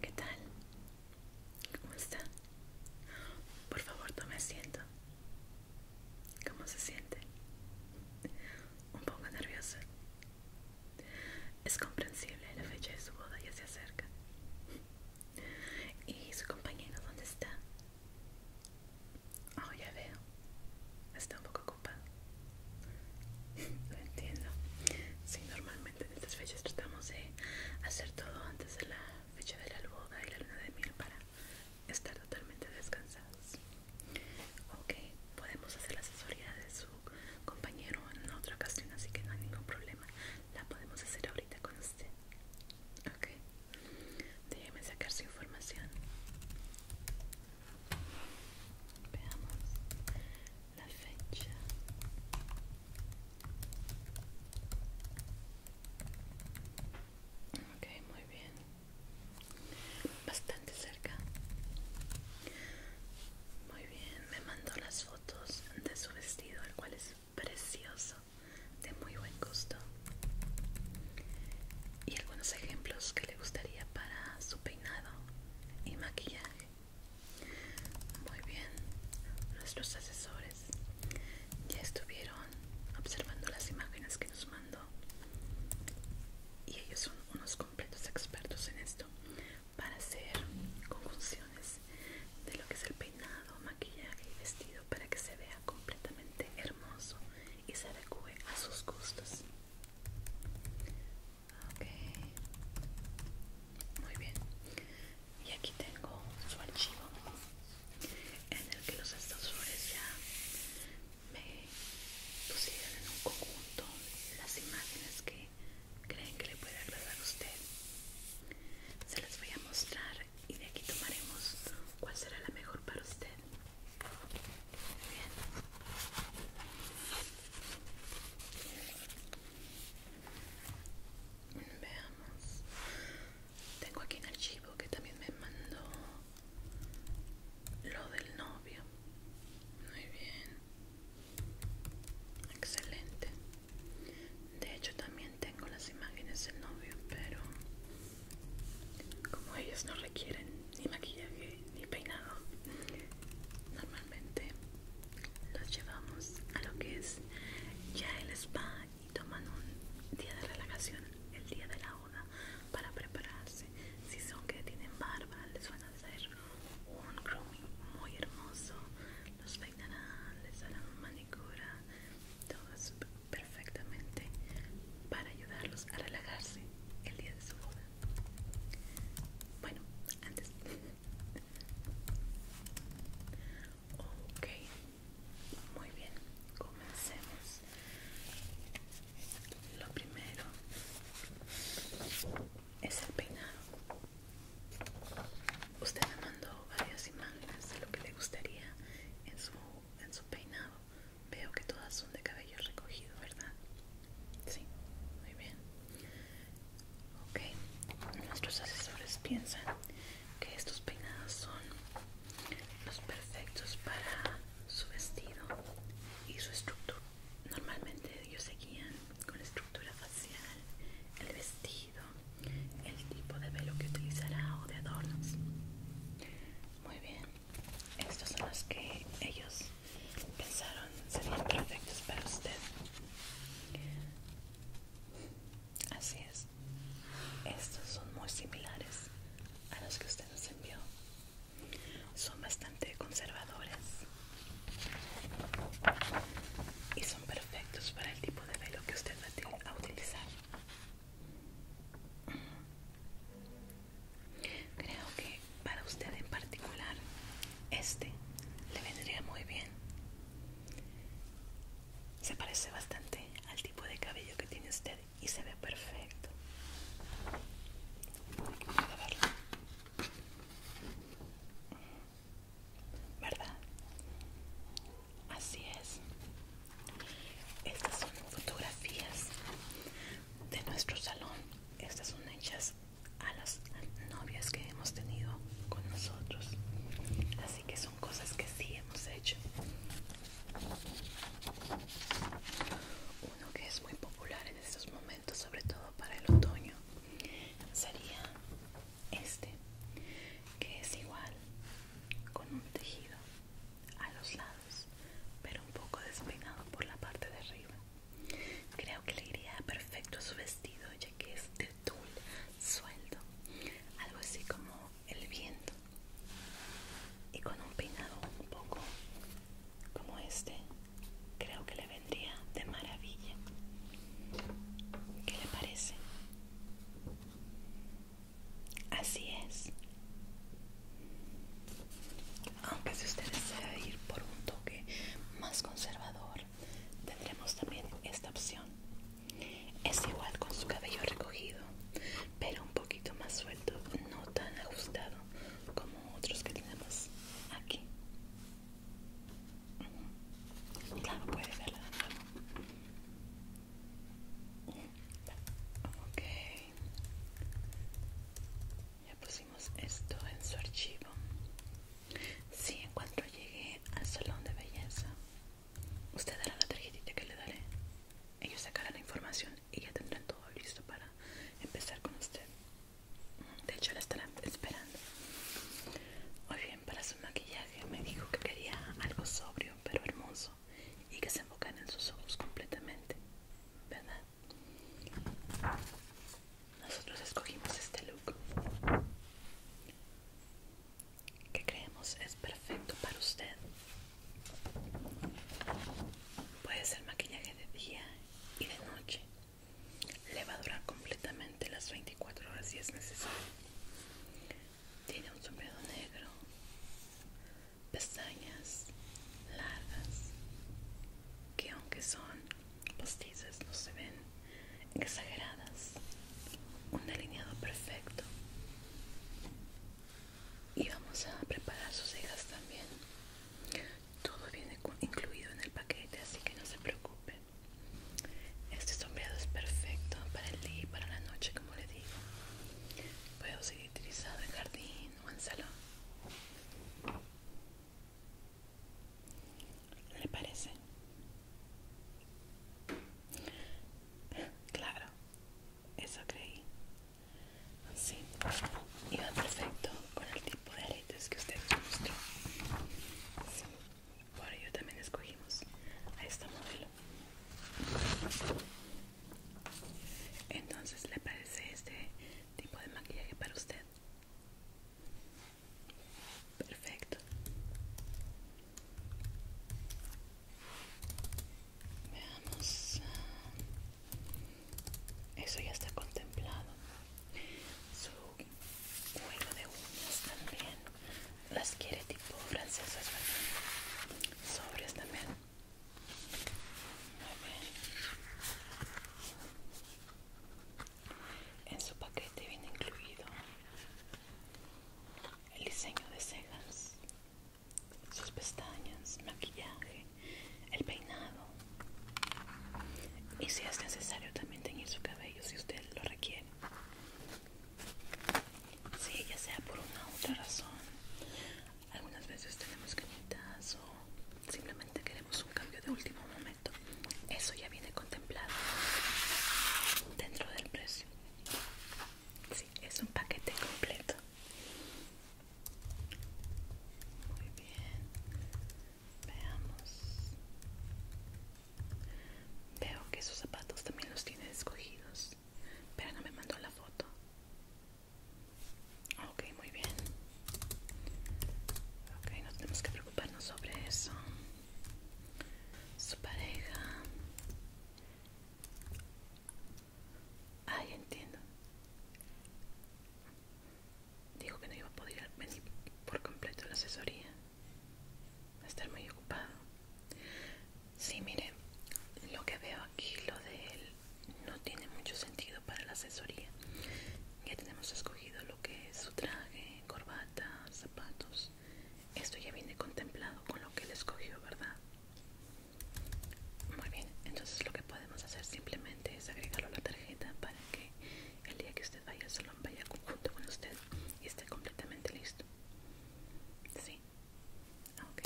¿Qué tal? ¿Cómo está? Por favor, tome asiento. ¿Cómo se siente? Un poco nerviosa. Es comprensible, la fecha de su boda ya se acerca. ¿Y su compañero dónde está? Oh, ya veo. Está un poco ocupado. Lo entiendo. Sí, normalmente en estas fechas tratamos de hacer todo antes de la fecha de la boda y la luna de miel para estar totalmente descansados. Ok, podemos hacer la asesoría de su compañero en otra ocasión, así que no hay ningún problema. La podemos hacer ahorita con usted. Ok. Déjeme sacar su información. Veamos la fecha. Ok, muy bien. Bastante cerca. Muy bien, me mandó las fotos de su vestido, el cual es precioso, de muy buen gusto y algunos ejemplos que le gustaría para su peinado y maquillaje. Muy bien, nuestros asesores ya estuvieron observando las imágenes que nos mandó y ellos son unos completos expertos en esto para hacer conjunciones de lo que es el peinado, maquillaje y vestido para que se vea completamente hermoso y se adecue a sus gustos. Ok, muy bien. Y aquí tengo su archivo en el que los Estados flores ya me pusieron en un conjunto las imágenes que creen que le puede agradar a usted. Se las voy a mostrar y de aquí tomaremos cuál será la mejor para usted. Muy bien. Veamos. Tengo aquí un archivo que también me mandó lo del novio. Muy bien. Excelente. De hecho también tengo las imágenes del novio, pero como ellos no requieren ni maquillaje ni peinado normalmente los llevamos a lo que es ya el spa y toman un día de relajación el día de la hora para prepararse si son que tienen barba les van a hacer un grooming muy hermoso los peinarán les harán manicura todo súper perfectamente para ayudarlos a relajarse el día de su boda. Bueno, antes. ok, muy bien, comencemos. Lo primero es el peinado. Usted me mandó varias imágenes de lo que le gustaría en su en su peinado veo que todas son de cabello recogido, ¿verdad? Sí, muy bien. Ok, nuestros asesores piensan que estos peinados son los perfectos para su vestido y su estructura. Normalmente ellos seguían con la estructura facial, el vestido el tipo de velo que utilizará o de adornos. Muy bien, estos son los que ellos pensaron serían perfectos para usted. Así es, estos son muy similares a los que usted nos envió. Son bastante conservadores y son perfectos para el tipo de velo que usted va a utilizar. Creo que para usted en particular este le vendría muy bien. Se parece bastante al tipo de cabello que tiene usted y se ve perfecto. ¿Verdad? Así es. Estas son fotografías de nuestro salón. Estas son hechas a las novias que hemos tenido con nosotros. Así que son cosas que sí hemos hecho. Uno que es muy popular en estos momentos, sobre todo para el otoño, sería este que es igual con un tejido a los lados pero un poco despeinado por la parte de arriba creo que le iría perfecto a su vestido ya que es de tul sueldo algo así como el viento y con un peinado un poco como este creo que le vendría de maravilla ¿qué le parece? Así es. Aunque si usted desea ir por un toque más conservador, tendremos también esta opción. Es igual con su cabello recogido, pero un poquito más suelto, no tan ajustado como otros que tenemos aquí. Claro, puede Ok. Ya pusimos esto en su archivo. Si en cuanto llegue al salón de belleza, usted dará la tarjetita que le daré. Ellos sacarán la información y ya tendrán todo listo para empezar con usted. De hecho, la estarán esperando para su maquillaje me dijo que quería algo sobrio pero hermoso y que se enfocara en sus ojos completamente, ¿verdad? Nosotros escogimos este look que creemos es perfecto para usted. Puede ser maquillaje de día y de noche. Le va a durar completamente las 24 horas si es necesario. Tiene un sombrero negro, pestañas largas que aunque son postizas no se ven exageradas. Un delineado perfecto. Y vamos a preparar sus cejas también. Todo viene incluido en el paquete, así que no se preocupen este sombreado es perfecto para el día y para la noche, como le digo. Puedo seguir utilizado en jardín o en salón. ¿Le parece? Claro, eso creí. Sí, iba perfecto con el tipo de aretes que usted mostró por yo también escogimos a esta modelo entonces le parece este tipo de maquillaje para usted perfecto veamos eso ya está contemplado juego de uñas también las quiere tipo francesas sobres también bien en su paquete viene incluido el diseño de cejas sus pestañas maquillaje el peinado y si es necesario también teñir su cabello si usted lo requiere si, ya sea por una u otra razón. Algunas veces tenemos cañitas o simplemente queremos un cambio de último momento. Eso ya viene contemplado dentro del precio. Sí, es un paquete completo. Muy bien. Veamos. Veo que esos zapatos también los tiene escogidos, pero no me mandó la foto. Ok, muy bien. Ok, no tenemos que preocuparnos sobre eso. Su pareja. Ay, entiendo. Dijo que no iba a poder venir por completo a la asesoría. Va a estar muy ocupado. Sí, mire, lo que veo aquí, lo de él, no tiene mucho sentido para la asesoría. Ya tenemos escogido lo que es su traje, corbata, zapatos. Esto ya viene contemplado con lo que él escogió, ¿verdad? Muy bien, entonces lo que podemos hacer simplemente es agregarlo a la tarjeta para que el día que usted vaya al salón, vaya junto con usted y esté completamente listo. ¿Sí? Ah, ok.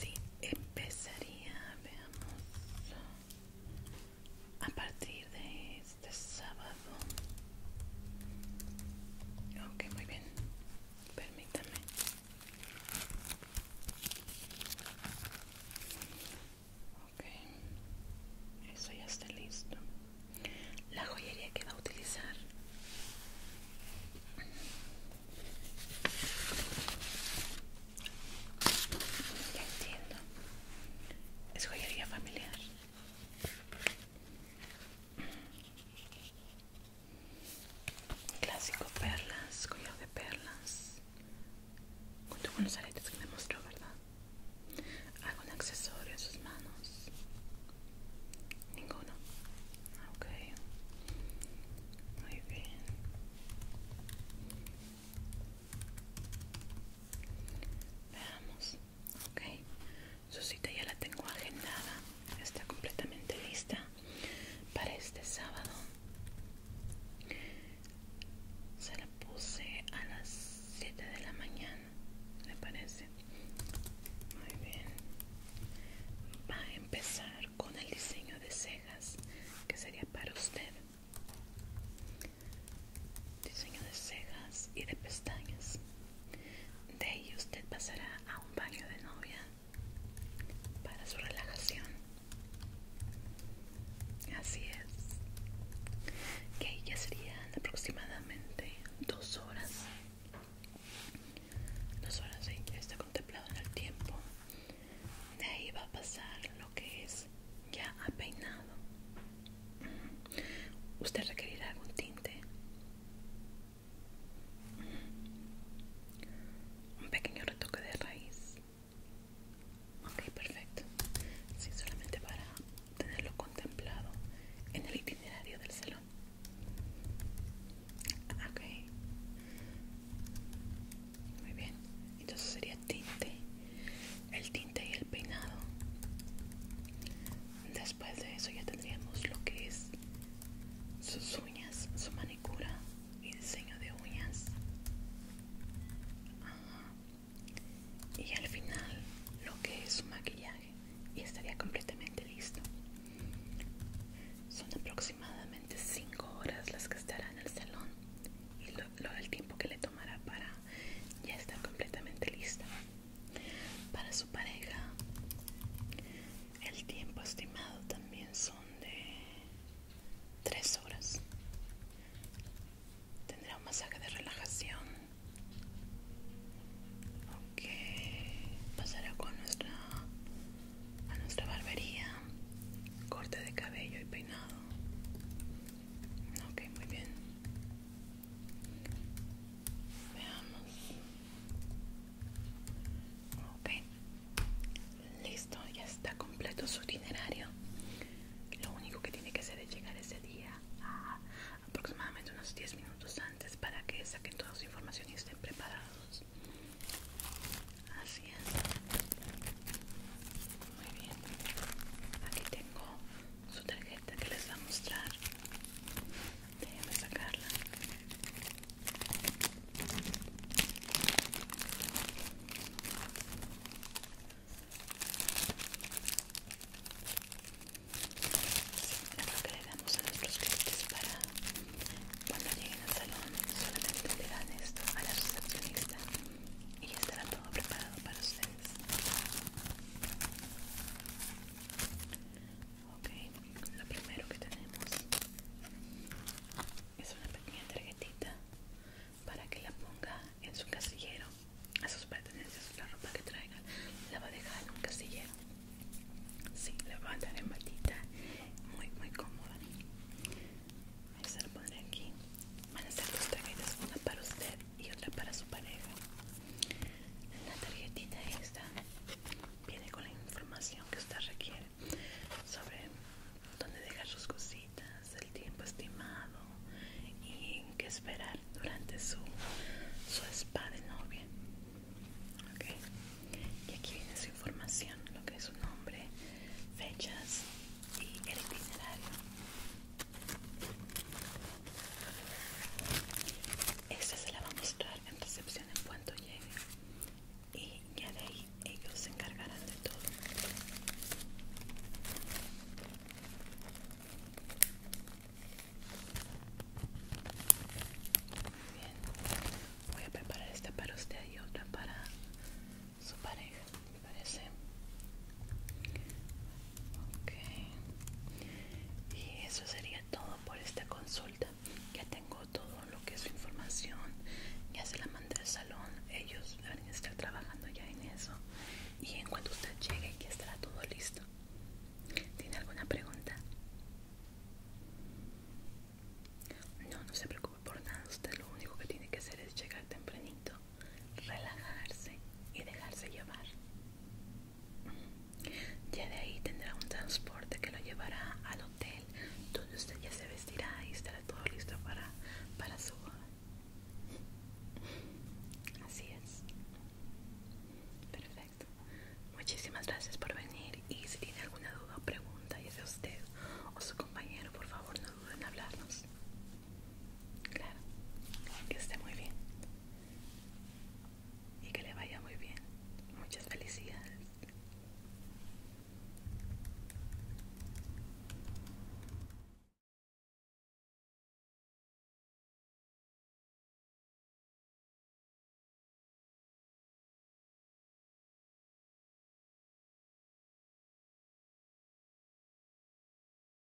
Sí, empezaría, veamos, a partir de este sábado. Ok, muy bien. Permítame. Ok, eso ya está listo. La joyería que va a utilizar ya entiendo. Es joyería familiar. Clásico perlas, collar de perlas. Junto con los aretes que me mostró, ¿verdad? ¿Algún accesorio en sus manos? Ninguno. Ah, ok. Muy bien. Veamos. Ok. Su cita ya la tengo agendada. Está completamente lista para este sábado se la puse a las 7 de la mañana me parece muy bien va a empezar con el diseño de cejas que sería para usted diseño de cejas y de pestañas de ahí usted pasará a un baño de novia para su relajación. Así es. Que ya serían aproximadamente dos horas. Dos horas ¿sí? ya está contemplado en el tiempo. De ahí va a pasar lo que es ya peinado. Usted requerirá algún tinte un pequeño retoque de raíz ok perfecto sí, solamente para tenerlo contemplado en el itinerario del salón ok muy bien entonces sería tinte el tinte y el peinado después de eso ya tendríamos lo que es sus su manicura y diseño de uñas. Y al final lo que es su maquillaje y estaría completamente listo. Son aproximadamente 5 horas las que estará en el salón y lo, el tiempo que le tomará para ya estar completamente lista. Para su pareja el tiempo estimado también son de 3 horas. Tendrá un masaje de relajación. Ok, pasará con nuestra a nuestra barbería, corte de cabello y peinado. Ok, muy bien. Veamos. Listo, ya está completo su itinerario. Lo único que tiene que hacer es llegar ese día a aproximadamente unos 10 minutos antes para que saquen toda su información y estén preparados. Así es. Muy bien. Aquí tengo su tarjeta que les va a mostrar. Déjame sacarla. lo que le damos a nuestros clientes para cuando lleguen al salón, solamente le dan esto a la recepcionista y ya estará todo preparado para ustedes. Okay, lo primero que tenemos es una pequeña tarjetita para que la ponga en su casillero, a sus pertenencias, la ropa que traiga. la va a dejar en un casillero. Sí, la va a dar en matita muy, muy cómoda. Ahí se pondré aquí. Van a hacer dos tarjetas, una para usted y otra para su pareja la tarjetita esta viene con la información que usted requiere sobre dónde dejar sus cositas, el tiempo estimado y qué esperar durante su, su spa de novia. Y aquí viene su información, lo que es su nombre, fechas y el itinerario esta se la va a mostrar en recepción en cuanto llegue y ya de ahí ellos se encargarán de todo Muy bien voy a preparar esta para usted y otra para su pareja me parece ok y eso sería todo por esta consulta. Ya tengo todo lo que es su información. Ya se la mandé al salón. Ellos deben estar trabajando ya en eso. Y en cuanto usted llegue, ya estará todo listo. ¿Tiene alguna pregunta? No, no se preocupe por nada. Usted lo único que tiene que hacer es llegar tempranito, relajarse y dejarse llevar. Ya de ahí tendrá un transporte que lo llevará al hotel donde usted ya se vestirá y estará todo listo para, para su boda. Así es. Perfecto. Muchísimas gracias por venir y si tiene alguna duda o pregunta, ya sea usted o su compañero, por favor no duden en hablarnos. Claro, que esté muy bien y que le vaya muy bien. Muchas felicidades.